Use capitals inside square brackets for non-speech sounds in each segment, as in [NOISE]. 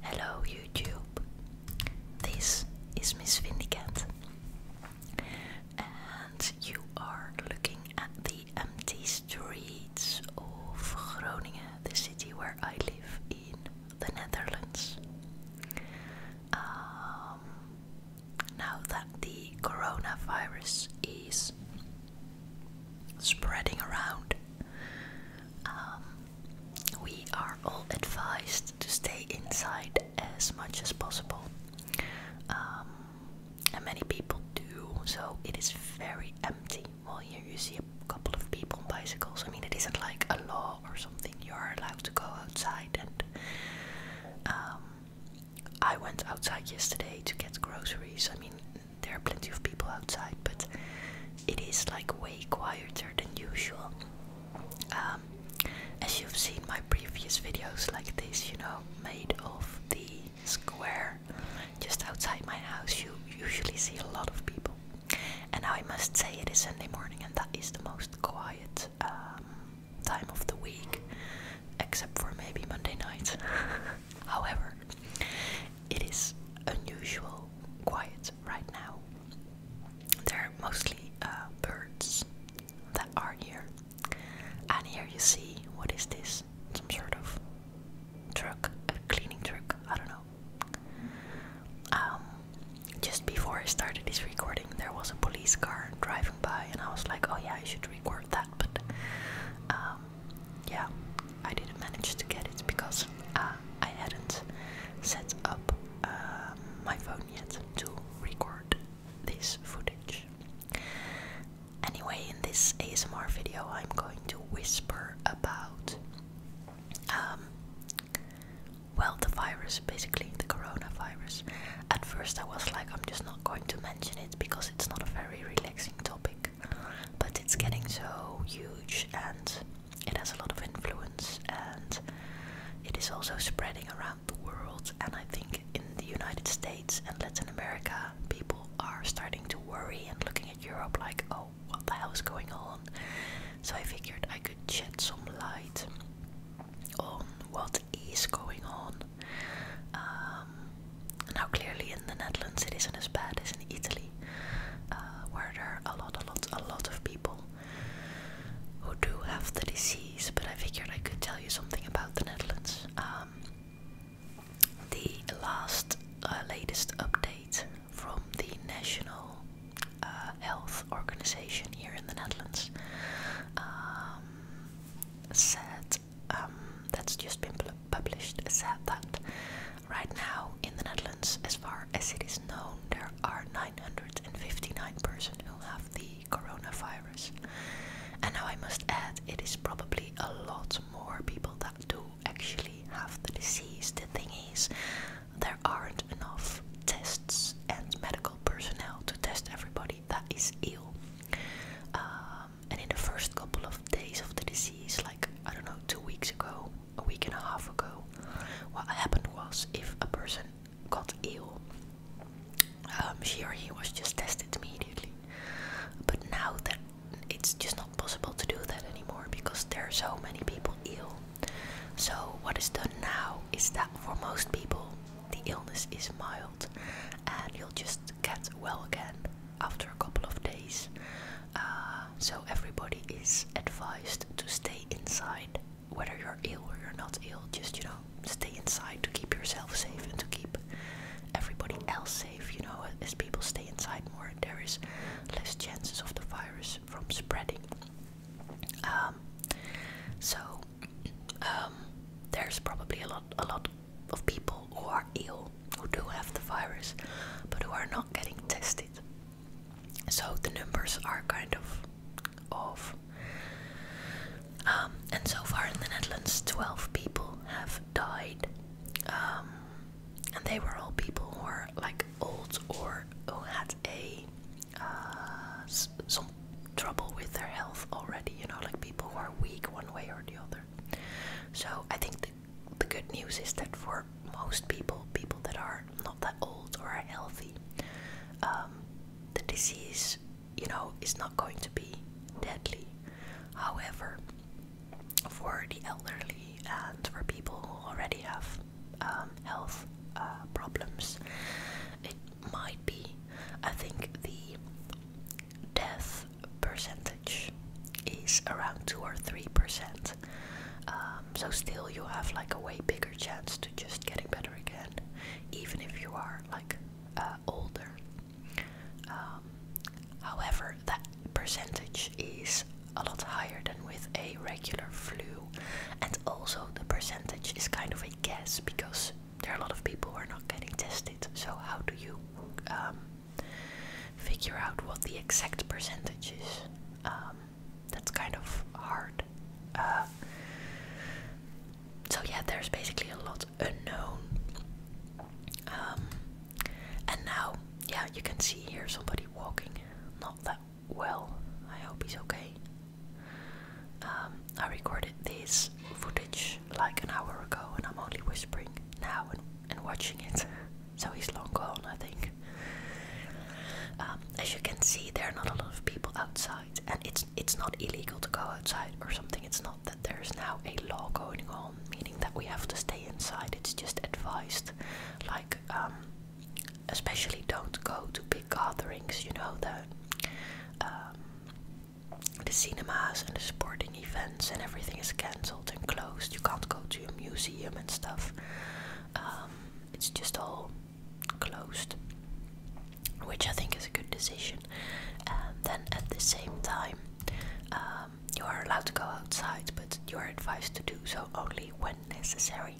Hello YouTube, this is Miss Vindicat and you are looking at the empty streets of Groningen, the city where I live in the Netherlands. Um, now that the coronavirus is spreading around, um, we are all advised to stay inside as much as possible. Um, and many people do, so it is very empty. Well, here you see a couple of people on bicycles. I mean, it isn't like a law or something. You are allowed to go outside, and um, I went outside yesterday to get groceries. I mean, there are plenty of people outside, but it is like way quieter than usual. Um, as you've seen my previous videos like this, you know, made of the square just outside my house, you usually see a lot of people. And I must say it is Sunday morning, and that is the most quiet um, time of the week, except for maybe Monday night. [LAUGHS] However, it is unusual quiet right now. They're mostly uh, birds that are here. And here you see what is this? Some sort of truck, a cleaning truck, I don't know. Um, just before I started this recording, there was a police car driving by, and I was like, oh yeah, I should record that, but um, yeah, I didn't manage to get it because uh, I hadn't set up um, my phone yet to record this footage. Anyway, in this ASMR video, I'm going to whisper about, um, well, the virus, basically, the coronavirus. At first, I was like, I'm just not going to mention it because it's not a very relaxing topic, but it's getting so huge and it has a lot of influence and it is also spreading around the world. And I think in the United States and Latin America, people are starting to worry and looking at Europe like, oh, what the hell is going on? So I figured I could shed some light on what is going on. Um, now, clearly, in the Netherlands, it isn't as bad as in Italy. Uh, where there are a lot, a lot, a lot of people who do have the disease. But I figured I could tell you something about the Netherlands. Um, the last, uh, latest update from the National uh, Health Organization here in the Netherlands um, said um, that's just been published. Said that Right now, in the Netherlands, as far as it is known, there are 959 persons who have the coronavirus. And now I must add, it is probably a lot more people that do actually have the disease. The thing is, there aren't enough tests and medical personnel to test everybody that is ill. Um, and in the first couple of days of the disease, like I don't know, two weeks ago, a week and a half ago. What happened was if a person got ill, um, she he was just tested immediately. But now that it's just not possible to do that anymore because there are so many people ill. So, what is done now is that for most people, the illness is mild and you'll just get well again after a couple of days. Uh, so everybody is advised to stay inside, whether you're ill or you're not ill. Just you know, stay inside to keep yourself safe and to keep everybody else safe. You know, as people stay inside more, there is less chances of the virus from spreading. Um, so um, there's probably a lot, a lot of people who are ill who do have the virus, but who are not getting tested. So the numbers are kind of off. Um, and so far in the Netherlands, 12 people have died. Um, and they were all people who are like old or who had a uh, some trouble with their health already, you know, like people who are weak one way or the other. So I think the good news is that for most people, people that are not that old or are healthy, um, the disease, you know, is not going to be deadly. However, for the elderly and for people who already have um, health uh, problems, it might be. I think the death percentage is around two or three percent, um, so still, you have like a way bigger chance to just getting better again, even if you are like uh, older. Um, however, that percentage is a lot higher than with a regular flu, and also the percentage is kind of a guess because there are a lot of people who are not getting tested. So how do you um, figure out what the exact percentage is? that's kind of hard. Uh, so yeah, there's basically a lot unknown. Um, and now, yeah, you can see here somebody walking, not that well. I hope he's okay. Um, I recorded this footage like an hour ago, and I'm only whispering now and, and watching it. [LAUGHS] so he's long gone, I think. Um, as you can see, there are not a lot of people outside, and it's it's not illegal to go outside or something. It's not that there is now a law going on, meaning that we have to stay inside. It's just advised, like um, especially don't go to big gatherings. You know the um, the cinemas and the sporting events and everything is cancelled and closed. You can't go to a museum and stuff. Um, it's just all closed, which I think is a good decision. And um, then at the same time, um, you are allowed to go outside, but you are advised to do so only when necessary,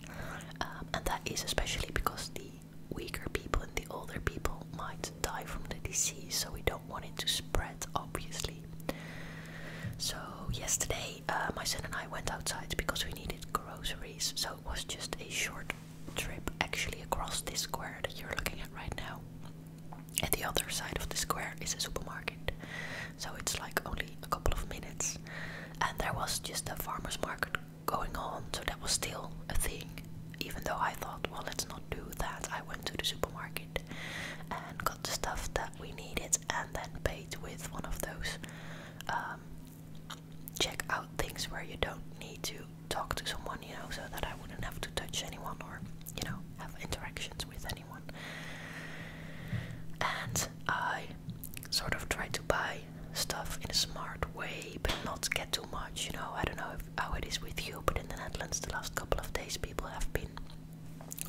and that is especially because the weaker people and the older people might die from the disease, so we don't want it to spread, obviously. So yesterday, uh, my son and I went outside because we needed groceries. So it was just a short trip, actually, across this square that you're looking at right now. At the other side of the square is a supermarket, so it's like only a couple of minutes. And there was just a farmer's market going on, so that was still a thing. Even though I thought, well, let's not do that, I went to the supermarket and got the stuff that we need it and then pay it with one of those um, check out things where you don't need to talk to someone, you know, so that I wouldn't have to touch anyone or, you know, have interactions with anyone. And I sort of try to buy stuff in a smart way, but not get too much, you know. I don't know how it is with you, but in the Netherlands, the last couple of days, people have been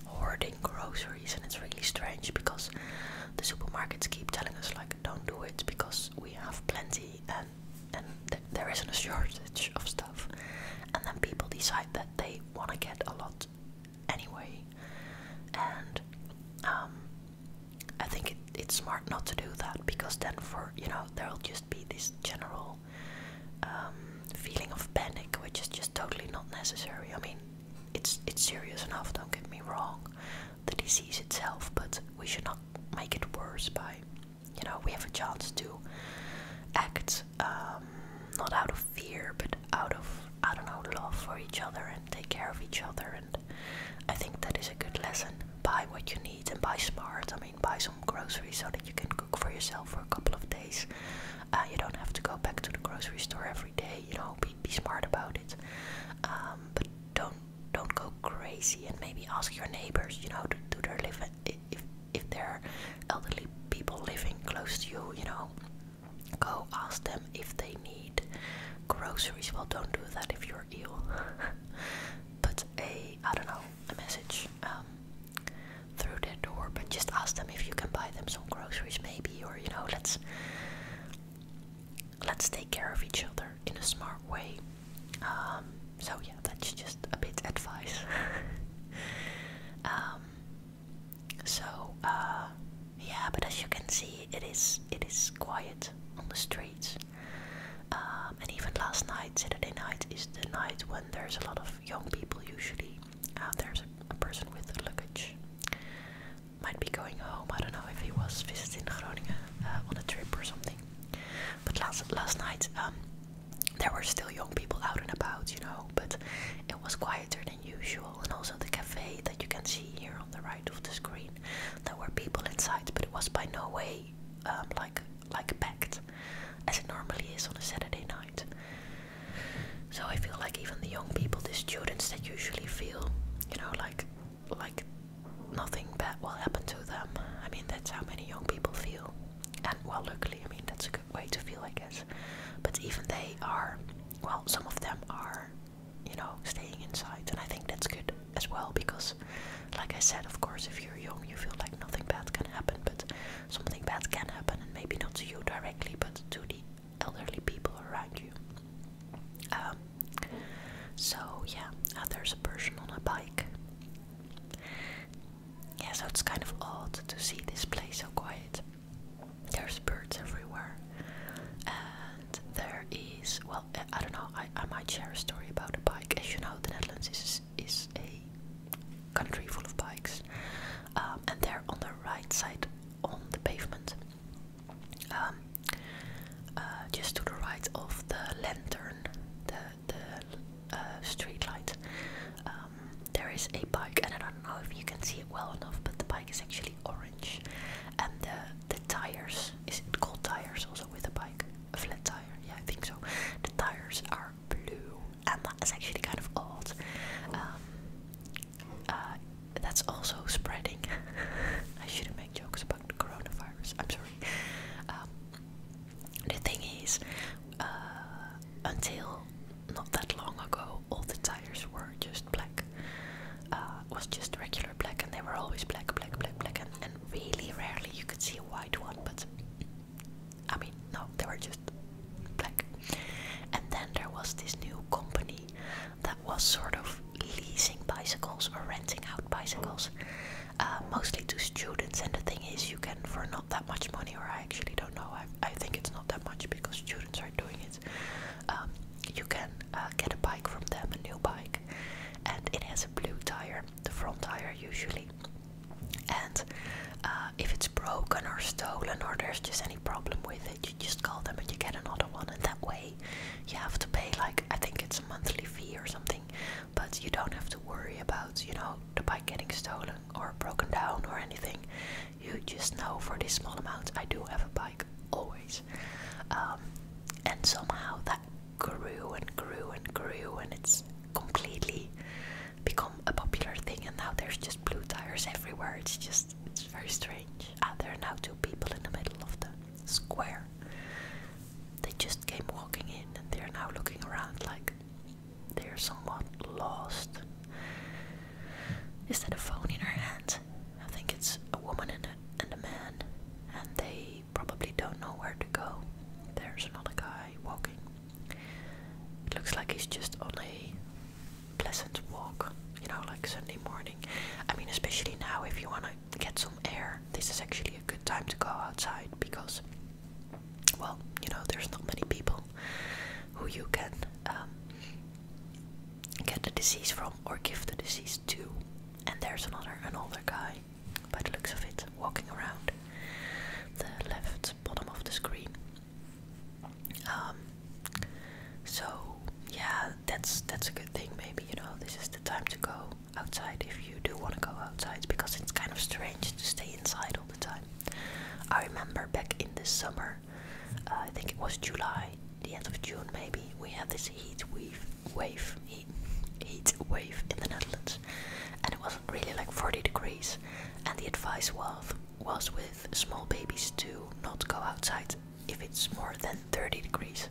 hoarding groceries and it's really strange because the supermarkets keep telling us like don't do it because we have plenty and and there isn't a shortage of stuff and then people decide that they want to get a lot anyway and um, I think it's smart not to do that because then for you know there'll just be this general um, feeling of panic which is just totally not necessary. I mean it's it's serious enough, don't get me wrong, the disease itself, but we should not make it worse by you know, we have a chance to act um, not out of fear, but out of I don't know, love for each other and take care of each other. And I think that is a good lesson. Buy what you need and buy smart. I mean, buy some groceries so that you can cook for yourself for a couple of days. Uh, you don't have to go back to the grocery store every day. You know, be smart about it. Um, but don't don't go crazy and maybe ask your neighbors. You know, do, do they if if there are elderly people living close to you? You know, go ask them if they need groceries. Well, don't do that if you're ill. [LAUGHS] Put a I don't know a message um, through their door, but just ask them if you can buy them some groceries. Maybe or you know let's let's take care of each other in a smart way um, so yeah that's just a bit advice [LAUGHS] um, so uh, yeah but as you can see it is it is quiet on the streets um, and even last night Saturday night is the night when there's a lot of young people usually uh, there's a, person with luggage might be going home. I don't know if he was visiting Groningen uh, on a trip or something. But last last night, um, there were still young people out and about, you know. But it was quieter than usual, and also the cafe that you can see here on the right of the screen. There were people inside, but it was by no way um, like like packed as it normally is on a Saturday night. So I feel like even the young people, the students they usually feel, you know, like like nothing bad will happen to them. I mean that's how many young people feel. And well luckily I mean that's a good way to feel I guess. But even they are well, some of them are, you know, staying inside and I think that's good as well because like I said of course if you're young you feel like nothing bad can happen but something bad can happen and maybe not to you directly but to the elderly people around you. Um, so yeah, there's a person on a bike. Yeah, so it's kind of odd to see this place so quiet. There's birds everywhere, and there is well, I don't know. I, I might share a story about a bike. As you know, the Netherlands is is a country full of bikes, um, and they're on the right side on the pavement. Um, uh, just to the right of the lantern, the, the uh, street light, um, there is a bike, and I don't know if you can see it well enough, but the bike is actually orange, and the tires is it called tires also with a bike, a flat tire, yeah, I think so. The tires are blue, and that is actually kind of odd. Um, uh, that's also spreading. [LAUGHS] I shouldn't make jokes about the coronavirus. I'm sorry. Um, the thing is, uh, until not that long ago, all the tires were just black. Uh, was just regular black, and they were always black, black, black, black, and, and really rarely you could see a white one. But I mean, no, they were just black. And then there was this new company that was sort of leasing bicycles or renting out bicycles, uh, mostly to students. And the thing is, you can, for not that much money, or I actually don't know, I, I think it's not that much because students are doing it. Um, you can uh, get a bike from them, a new bike, and it has a blue tire, the front tire usually. And uh, if it's broken or stolen or there's just any problem with it, you just call them and you get another one, and that way you have to pay like I think it's a monthly fee or something, but you don't have to worry about you know the bike getting stolen or broken down or anything. You just know for this small amount I do have a bike always, um, and somehow that grew and grew and grew, and it's completely become a popular thing. And now there's just blue tires everywhere. It's just it's very strange. Ah, there are now two people in the middle of the square. They just came walking in and they're now looking around like they're somewhat lost. Is that a phone in her hand? I think it's a woman and a, and a man, and they probably don't know where to go. There's another guy walking. looks like he's just on a pleasant walk, you know, like Sunday morning. I mean, especially now if you want to get some air, this is actually a good time to go outside because, well, you know, there's not many people who you can um, get the disease from or give the disease to. And there's another, an older guy, by the looks of it, walking around the left bottom of the screen. Um, so yeah, that's that's a good thing. Maybe you know this is the time to go outside if you do want to go outside because it's kind of strange to stay inside all the time. I remember back in the summer, uh, I think it was July, the end of June maybe. We had this heat wave, heat, wave in the Netherlands, and it was not really like 40 degrees. And the advice was was with small babies do not go outside if it's more than 30 degrees.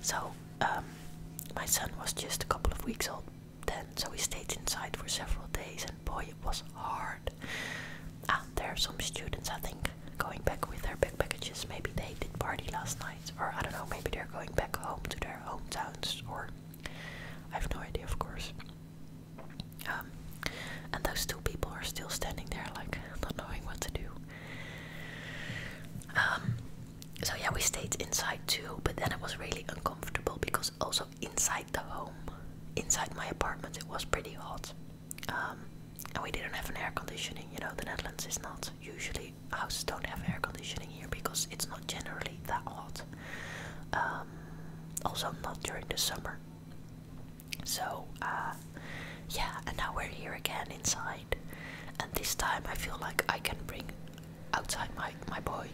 So, um, my son was just a couple of weeks old then, so he stayed inside for several days, and boy, it was hard. Ah, there are some students, I think, going back with their backpacks. Maybe they did party last night, or I don't know, maybe they're going back home to their hometowns, or I have no idea, of course. Um, and those two people are still standing there, like not knowing what to do. Um, so yeah, we stayed inside too, but then it was really uncomfortable because also inside the home, inside my apartment, it was pretty hot. Um, and we didn't have an air conditioning. You know, the Netherlands is not usually houses don't have air conditioning here because it's not generally that hot. also, not during the summer. So, uh, yeah, and now we're here again inside. And this time I feel like I can bring outside my, my boy.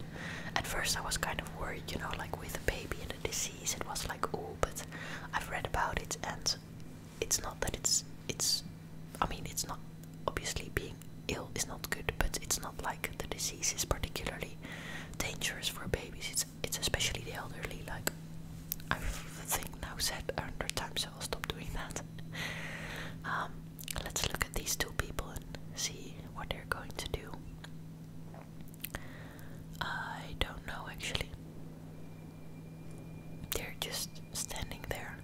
At first I was kind of worried, you know, like with a baby and a disease, it was like, oh, but I've read about it and it's not that it's, it's, I mean, it's not, obviously being ill is not good, but it's not like the disease is particularly dangerous for babies. It's it's especially the elderly. Like I've now said a hundred times, I'll stop doing that. [LAUGHS] Um, let's look at these two people and see what they're going to do. I don't know actually. They're just standing there.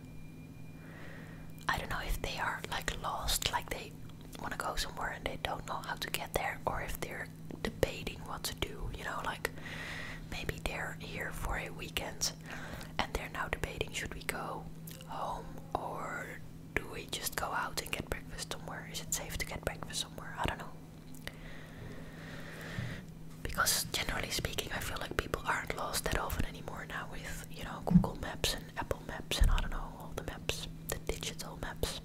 I don't know if they are like lost, like they want to go somewhere and they don't know how to get there, or if they're debating what to do, you know, like maybe they're here for a weekend and they're now debating should we go home or do we just go out and get breakfast somewhere? Is it safe to get breakfast somewhere? I don't know. Because generally speaking, I feel like people aren't lost that often anymore now with, you know, Google Maps and Apple Maps and I don't know, all the maps, the digital maps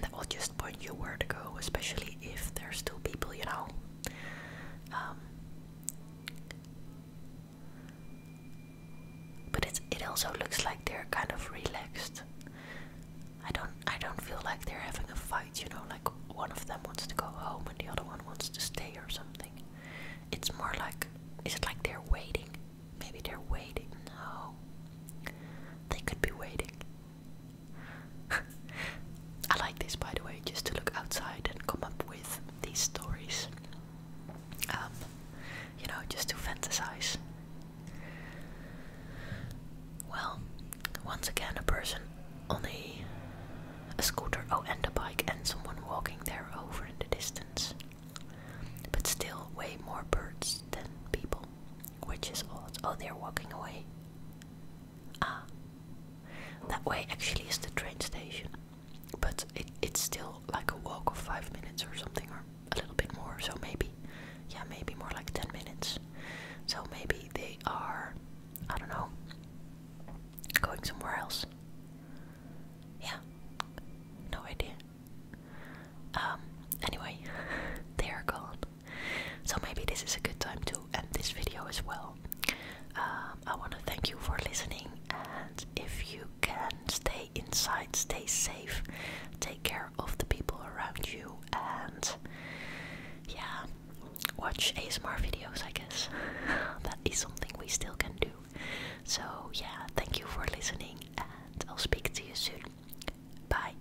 that will just point you where to go, especially if there's still people, you know. Um, but it it also looks like they're kind of relaxed. I don't I don't feel like they're having a fight, you know, like one of them wants to go home and the other one wants to stay or something. It's more like is it like they're waiting? Maybe they're waiting. No. They could be waiting. [LAUGHS] I like this, by the way, just to look outside and come up with these stories. Um, you know, just to fantasize. Well, once again, a person on a, a scooter, oh, and a bike, and someone walking there over in the distance. But still, way more birds than people. Which is odd. Oh, they're walking away. Ah. That way actually is the train station. But it, it's still like a walk of five minutes or something, or a little bit more. So maybe, yeah, maybe more like 10 minutes. So maybe they are, I don't know, going somewhere else. Yeah, no idea. Um, anyway, [LAUGHS] they are gone. So maybe this is a good time to end this video as well. Um, I want to thank you for listening, and if you can, stay inside, stay safe, take care of the people around you, and yeah, watch ASMR videos, I guess. [LAUGHS] that is something we still can do. So, yeah, thank you for listening, and I'll speak to you soon. Bye.